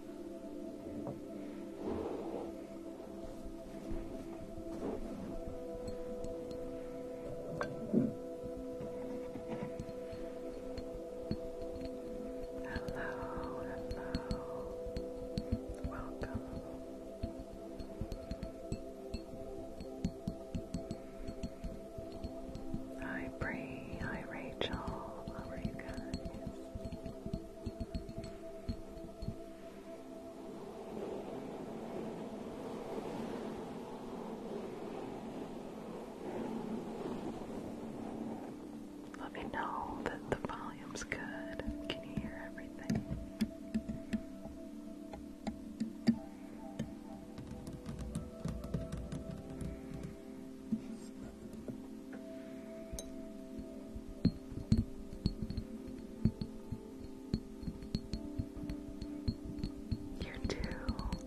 Hello, hello, welcome. Hi Bree, hi Rachel, how are you guys? Let me know that the volume's good. Can you hear everything? You too. Okay, thank you.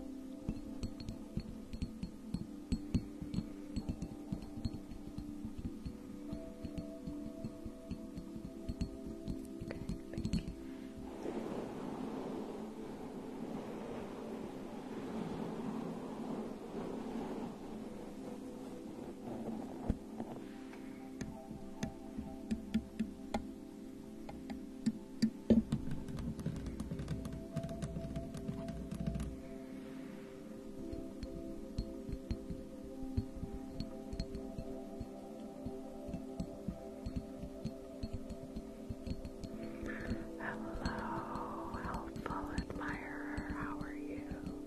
Hello, helpful admirer, how are you?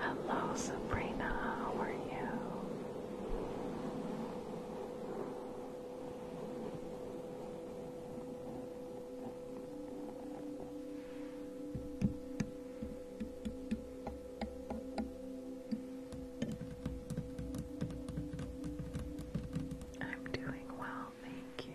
Hello, Sabrina, how are you? I'm doing well, thank you.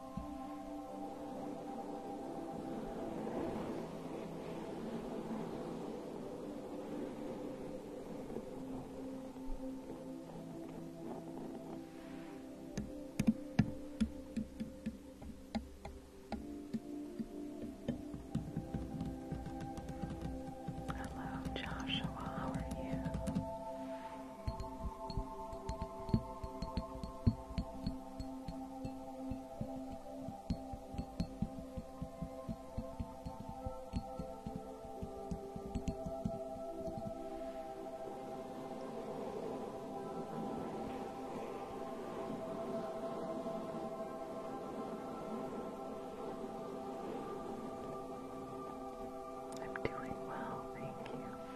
Hello, Joshua, how are you? I'm doing well, thank you.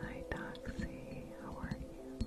Hi, Doxy. How are you?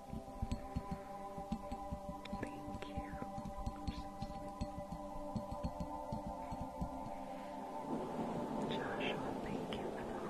Thank you. Joshua, thank you for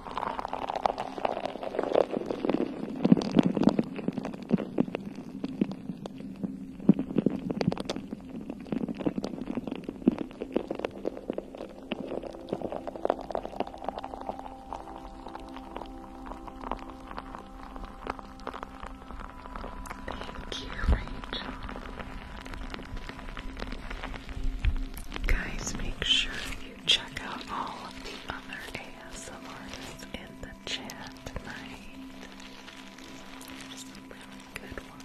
Thank you, Rachel. Guys, make sure check out all of the other ASMRs in the chat tonight. There's some really good ones.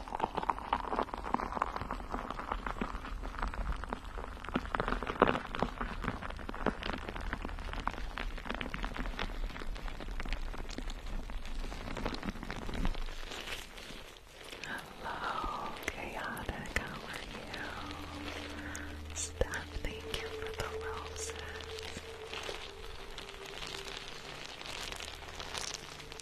Hello, Chaotic, how are you? Steph, thank you for the roses.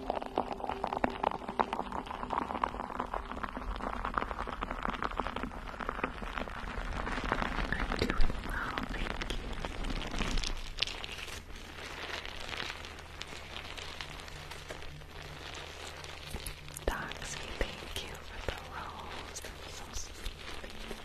doing well, thank you. Doxy, thank you for the rose. so sweet. Thank you.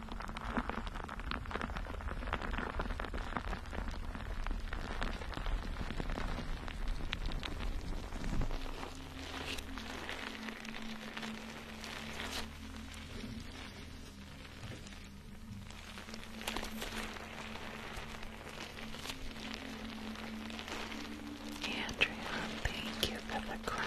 Andrea, thank you for the crown.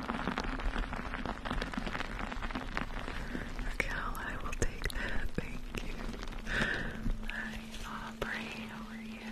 Raquel, I will take that. Thank you. Hi, Aubrey. How you?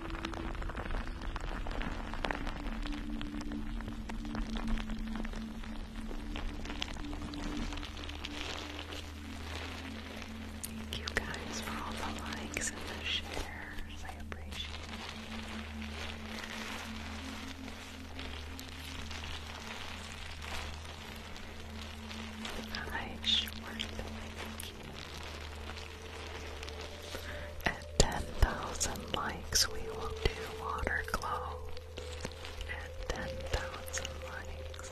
Thank you guys for all the likes and the shares. I appreciate it. Alright, sure. Thank you. At 10,000 likes, we will do water glow. At 10,000 likes.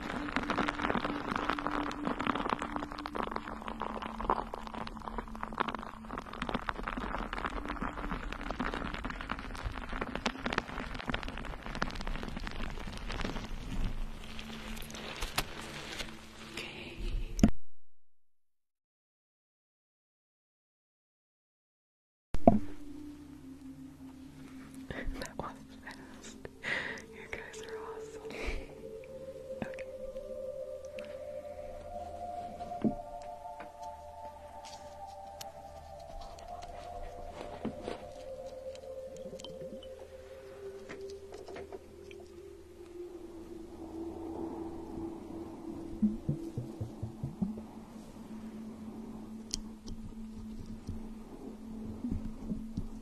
Okay. that was fast you guys are awesome. Okay.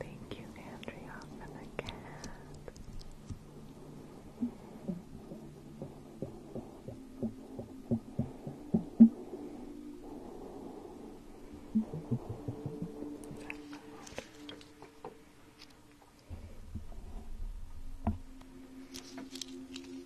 Thank you, Andrea, for the cat.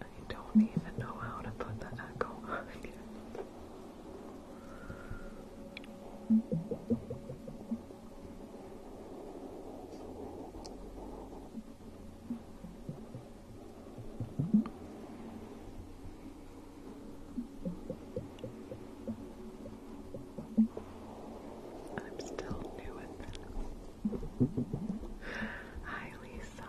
I don't even know how to put the echo I'm still new at this. Hi, Lisa.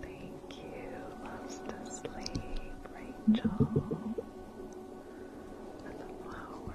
Thank you, loves to sleep, Rachel, the flower.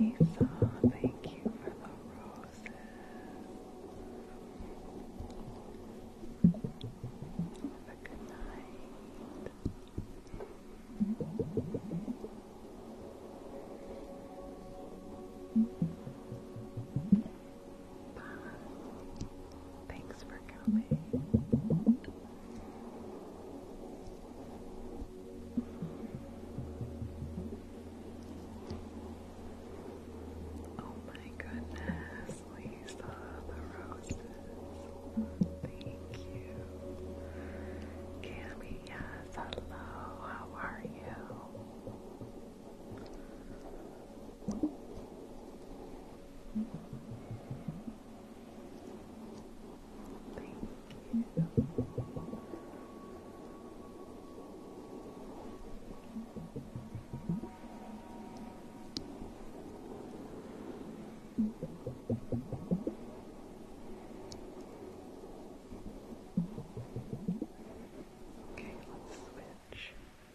Lisa, thank you for the roses. Have a good night. Thanks for coming. Oh my goodness, Lisa, the roses. Thank you. Cammy, yes, hello, how are you? Thank you. Okay, let's switch.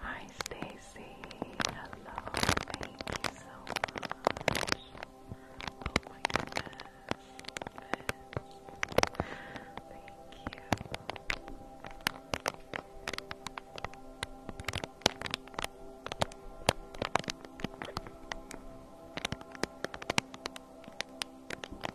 Hi Stacy. Hello. Thank you so much. Oh my goodness. Thank you.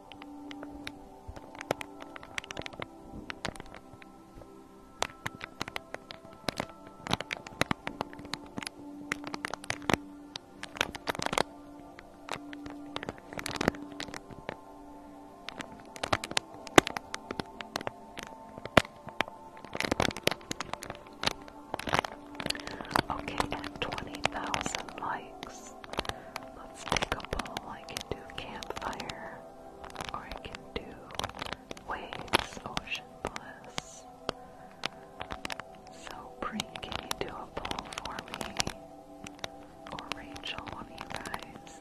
Okay, 20,000 likes. Let's take a bowl. I can do campfire, or I can do waves, ocean bliss. So, Bree, can you do a poll for me? Or Rachel, you guys?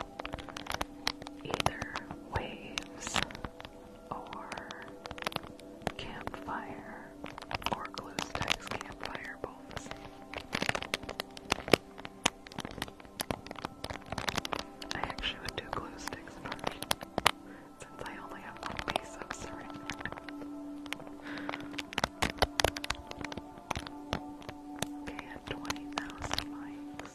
Either waves, or campfire, or glue sticks, campfire, both I actually would do glue sticks first, since I only have one piece of syringe. Okay, at 20,000 likes.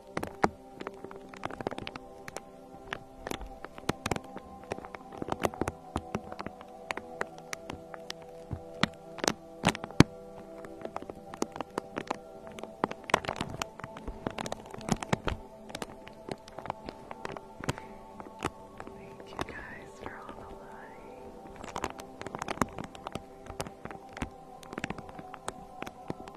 Thank you guys for all the likes.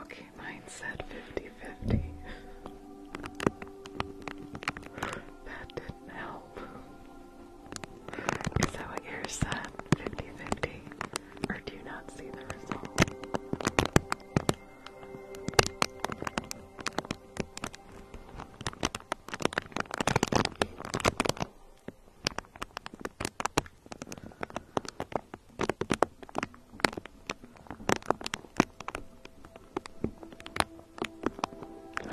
Okay, mine said fifty fifty. that didn't help. Is that what yours said? 50 50? Or do you not see the result? Okay,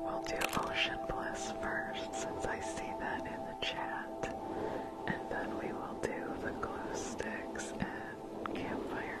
we'll do Ocean Bliss first since I see that in the chat. And then we will do the glow sticks and campfire.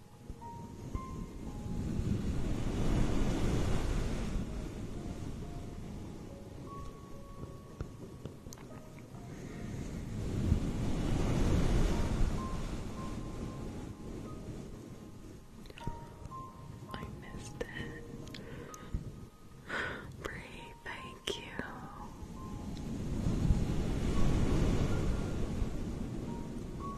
I missed it. Bree, thank you.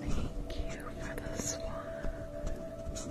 Thank you for the swan. Oh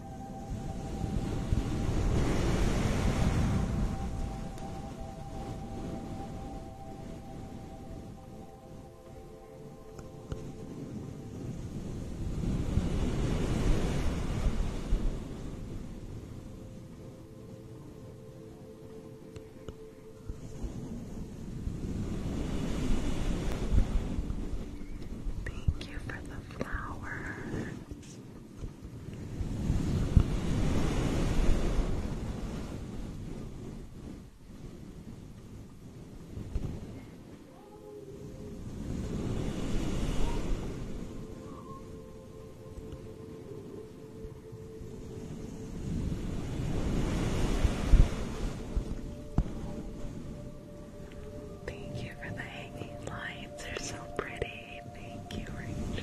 Thank you for the flowers. Thank you for the hanging lights, they're so pretty thank you, Rachel.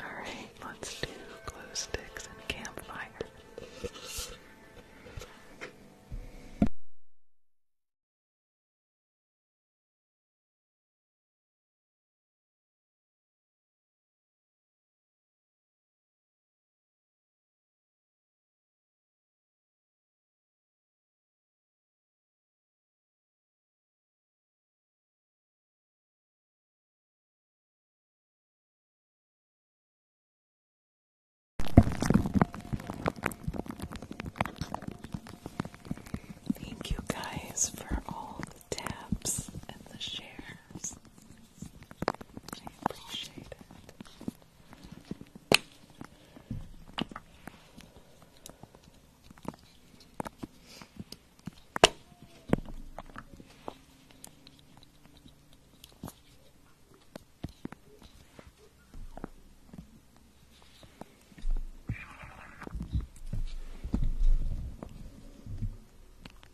Alright, let's do glow sticks and campfire. Thank you guys for all the taps and the shares. I appreciate it.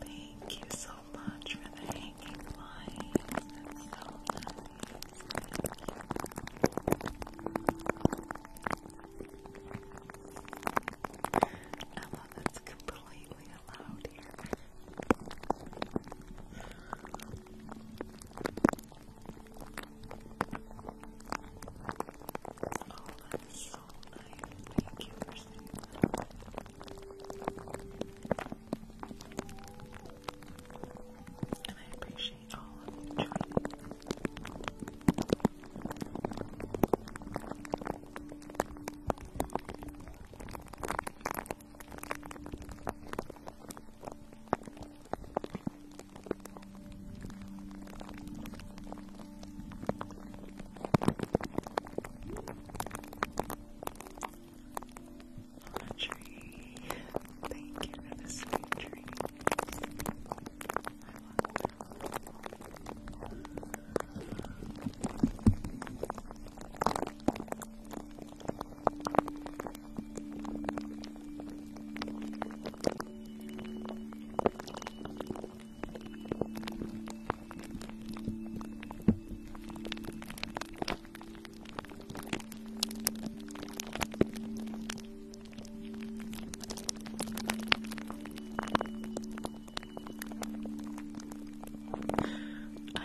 Thank you so much for the hanging lights. That's so nice. I love it's completely allowed here. Oh, that's so nice. Thank you for and I appreciate all of you joining. Laundry. Thank you for the sweet dream. I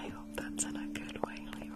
hope that's in a good way, Leroy.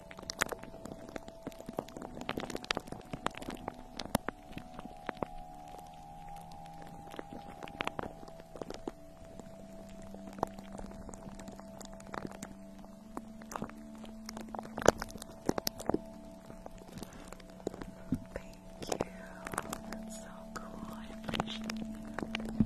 Thank you. That's so cool. I appreciate you.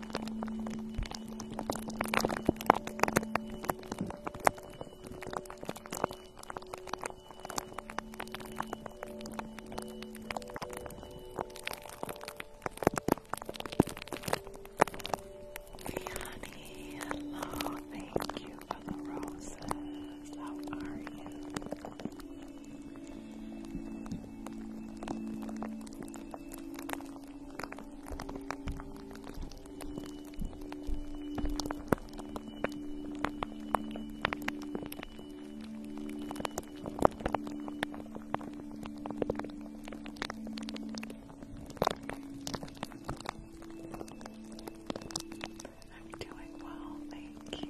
Leonie, hello, thank you for the roses. How are you? I'm doing well, thank you.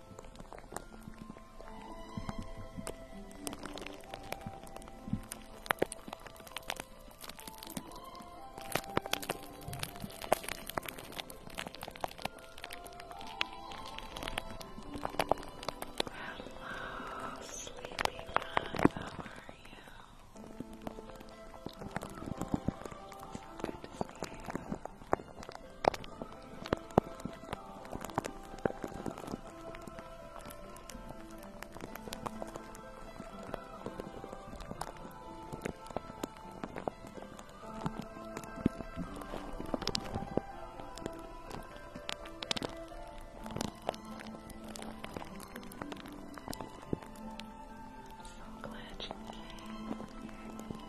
Hello, sleepy How are you? good to see you. So glad you came.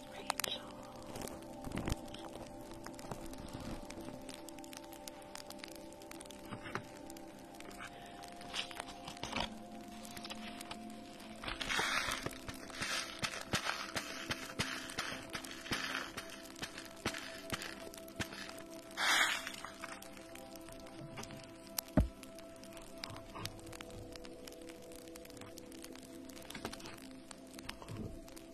Rachel. Thank you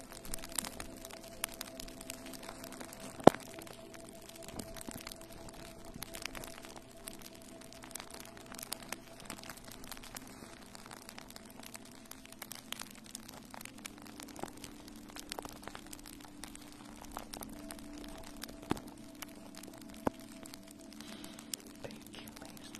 Thank you, Lisa.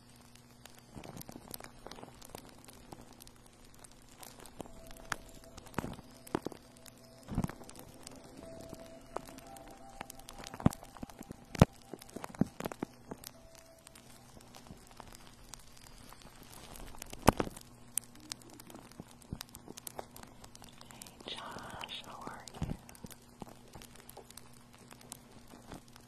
Hey Josh, how are you? I'm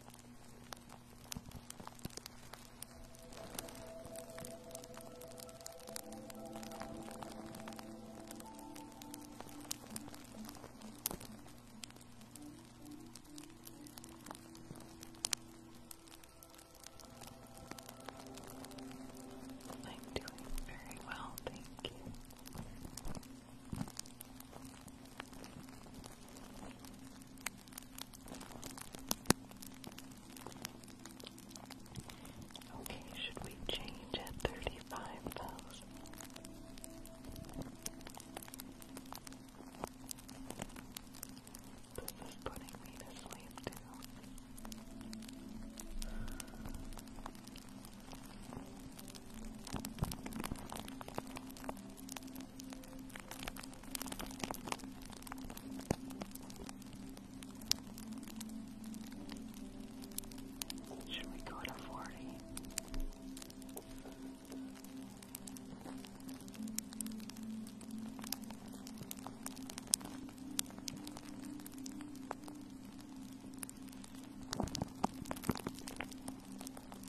doing very well, thank you. Okay, should we change at thirty five thousand? This is putting me to sleep too. Should we go to 40?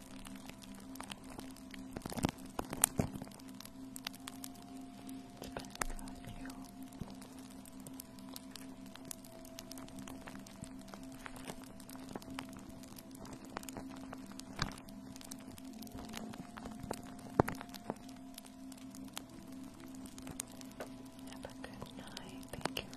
Have a good night. Thank you for coming.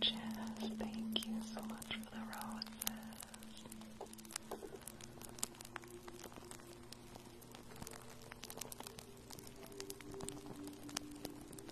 Jess, thank you so much for the roses.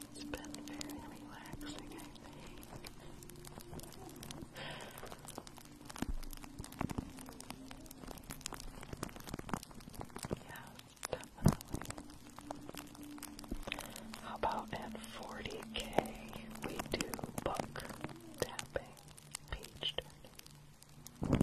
It's been very relaxing, I think. Yeah, definitely. How about at 40k we do book tapping, page turning?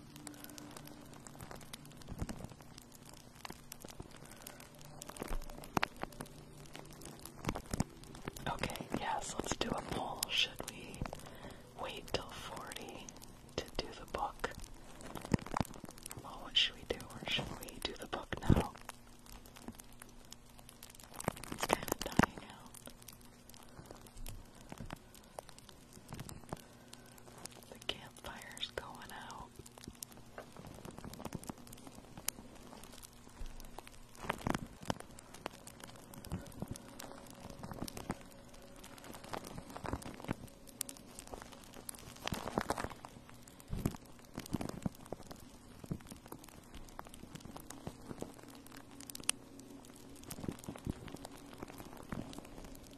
Okay, yes, let's do a poll. Should we wait till 40 to do the book? Well, what should we do? Or should we do the book now? It's kind of dying out. The campfire is going out.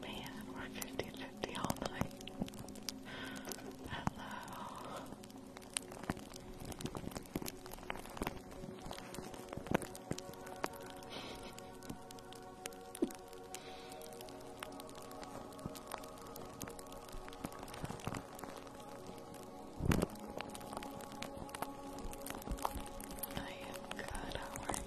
Man, we're 50-50 all night. Hello. I am good, how are you?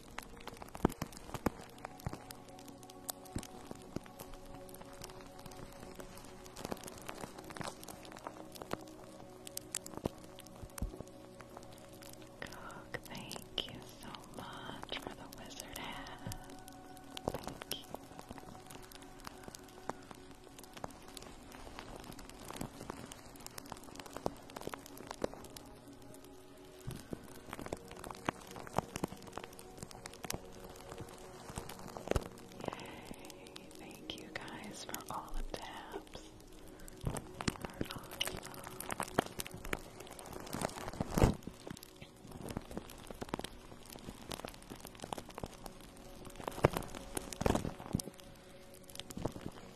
Cook, thank you so much for the wizard hat. Thank you thank you guys for all the taps.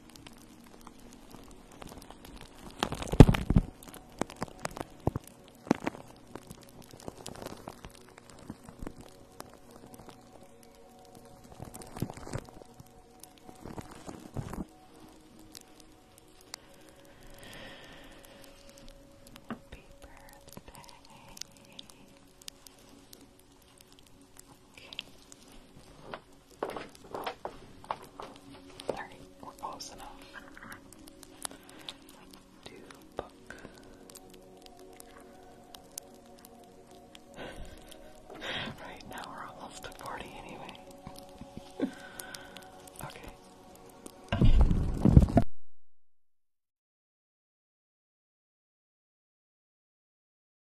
Happy birthday. Okay. Alright, we're close enough. Do right now we're almost to 40 anyway. Okay.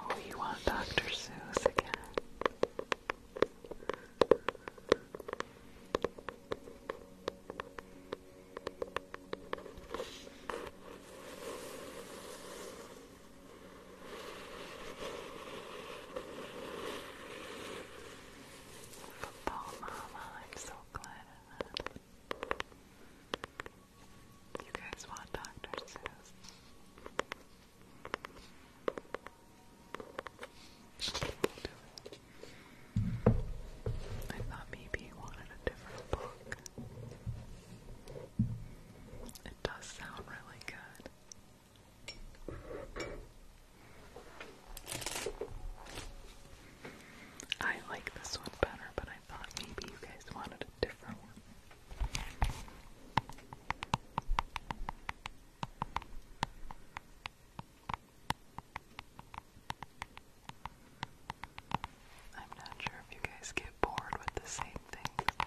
Oh, you want Dr. Seuss again? Football Mama, I'm so glad You guys want Dr. Seuss? I thought maybe he wanted a different book. It does sound really good. I like this one better, but I thought maybe you guys wanted a different one. I'm not sure if you guys get bored with the same things.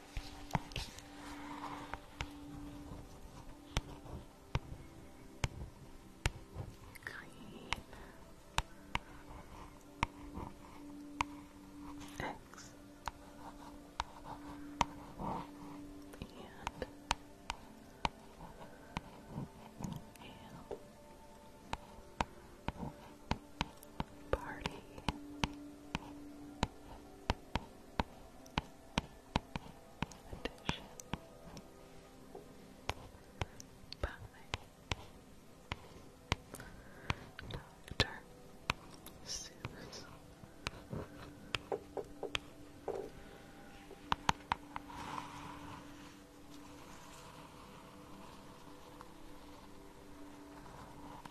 Green. X. And L party. Edition. By Dr. Seuss.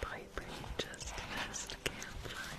Piper, you just missed campfire.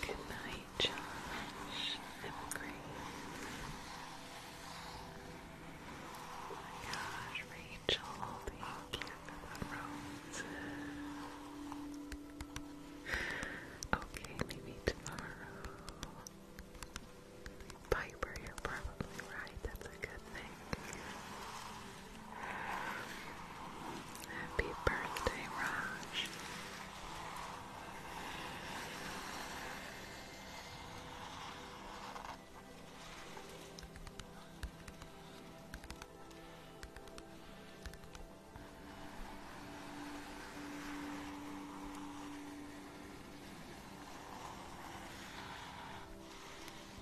Good night, Josh. I'm great. Oh my gosh, Rachel, thank you the roses. Okay, maybe tomorrow. Piper, you're probably right. That's a good thing. Happy birthday, Raj.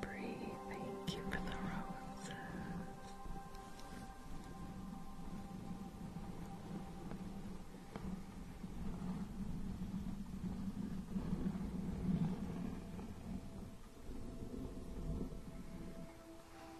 Bree, thank you for the roses.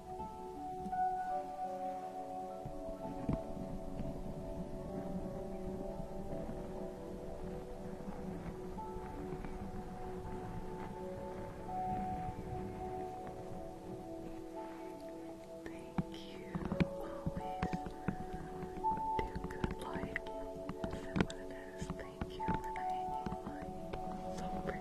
Thank you always to good like is Thank you So pretty.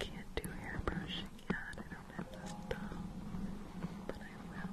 Can't do hair brushing yet. I don't have the stuff, but I will.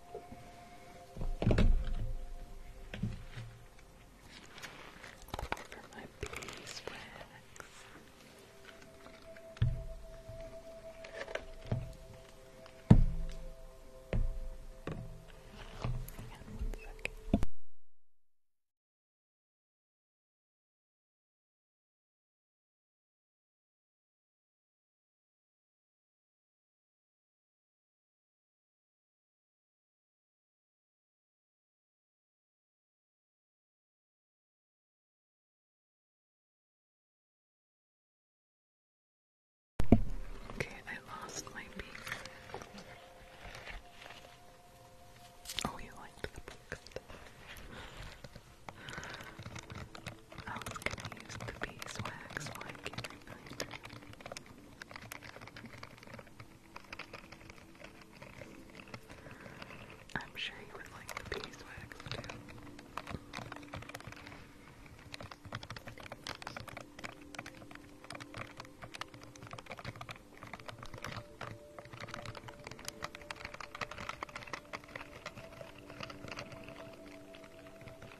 For my beeswax. Hang on one second. Okay, I lost my beak. Oh, you liked the book stuff. Oh, How can I use the beeswax? Why I'm sure you would like the beeswax too.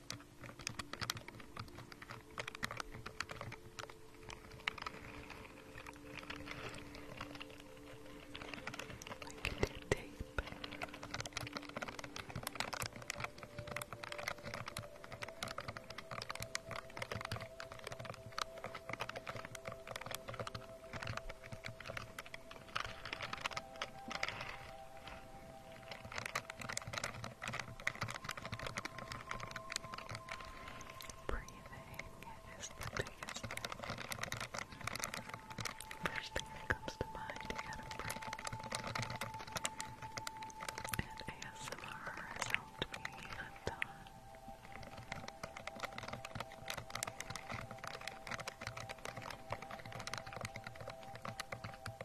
Get the tape. Breathing is the biggest thing. First thing that comes to mind, you got And ASMR has helped me a ton.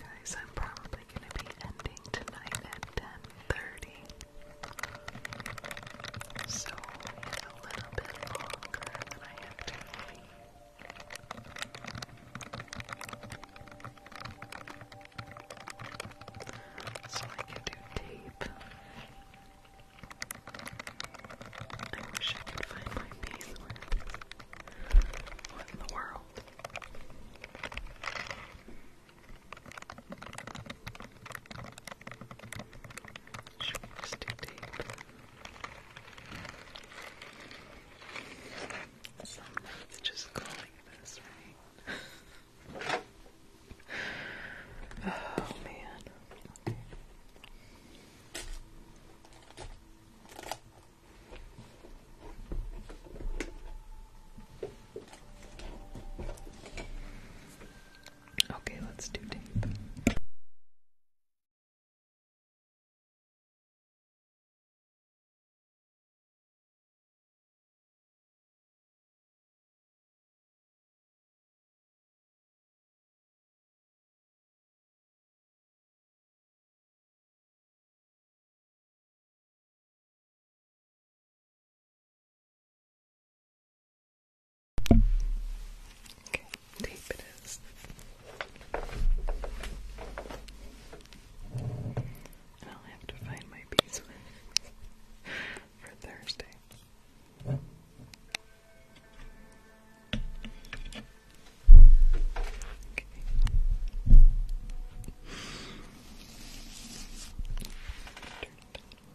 Guys, I'm probably going to be ending tonight at 10:30. So a little bit longer than I have to So I can do tape. I wish I could find my beeswax. What in the world? Stick tape. Some just calling this, oh man. Okay, let's do tape. Okay, tape it is. And I'll have to find my beeswax for Thursday. Okay.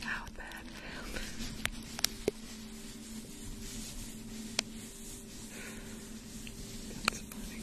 How that happened. That's funny.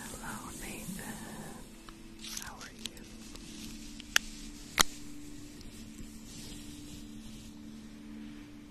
Hello, Nathan. How are you?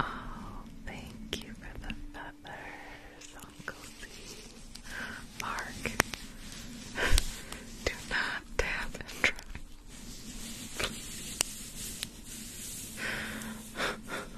Oh, thank you for the feathers, Uncle Z. Mark, do not tap and try.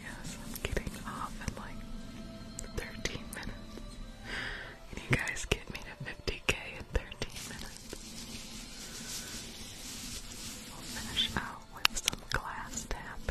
Yes, I'm getting off in like 13 minutes. Can you guys get me 50k in 13 minutes. We'll finish out with some glass tapping.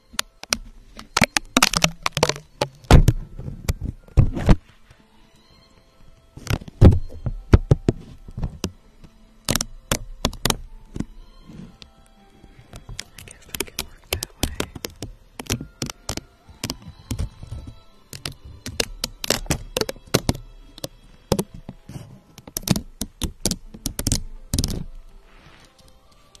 I guess I can work that way.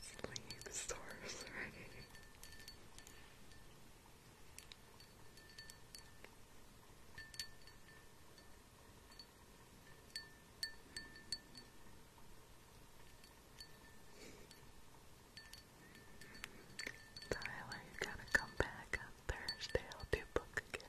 Slinging the stars already. Tyler, you gotta come back Thursday. I'll do book again.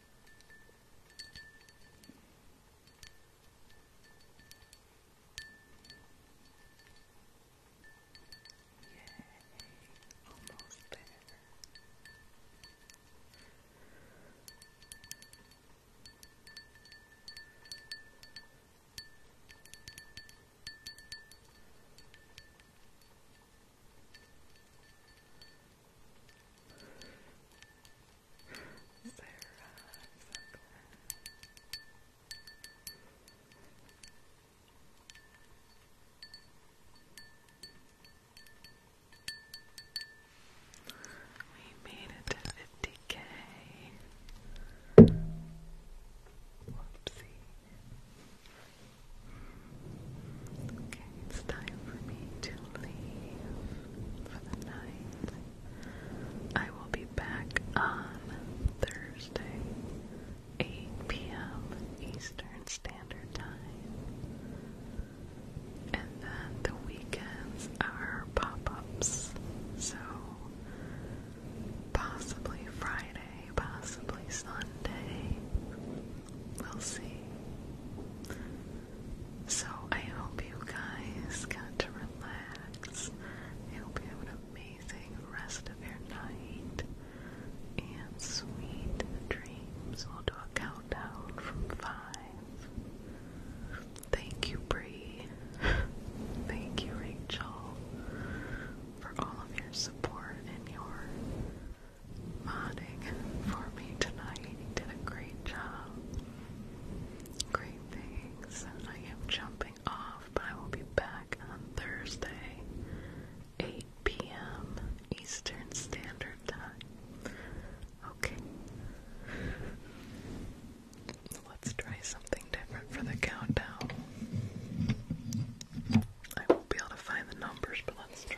almost there. Good. Sarah, so we made it to 50k. Whoopsie it's time for me to leave for the night. I will be back on Thursday, 8 p.m. Eastern Standard Time. And then the weekends are pop ups. So possibly Friday, possibly Sunday. We'll see. So I hope you guys got to relax. I hope you have an amazing rest of your night and sweet dreams. We'll do a countdown from five. Thank you, Bree. Thank you, Rachel, for all of your support and your modding for me tonight. He did a great job. Great things. I am jumping off, but I will be back on Thursday, 8 p.m. Eastern Standard Time. Okay. Let's try something different for the countdown. I won't be able to find the numbers, but let's try.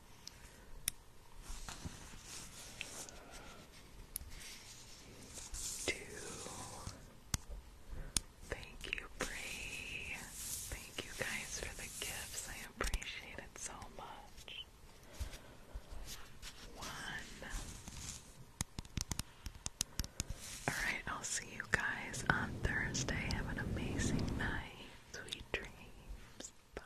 Two. Thank you, Bree. Thank you guys for the gifts. I appreciate it so much. One. Alright, I'll see you guys on Thursday. Have an amazing night. Sweet dreams. Bye.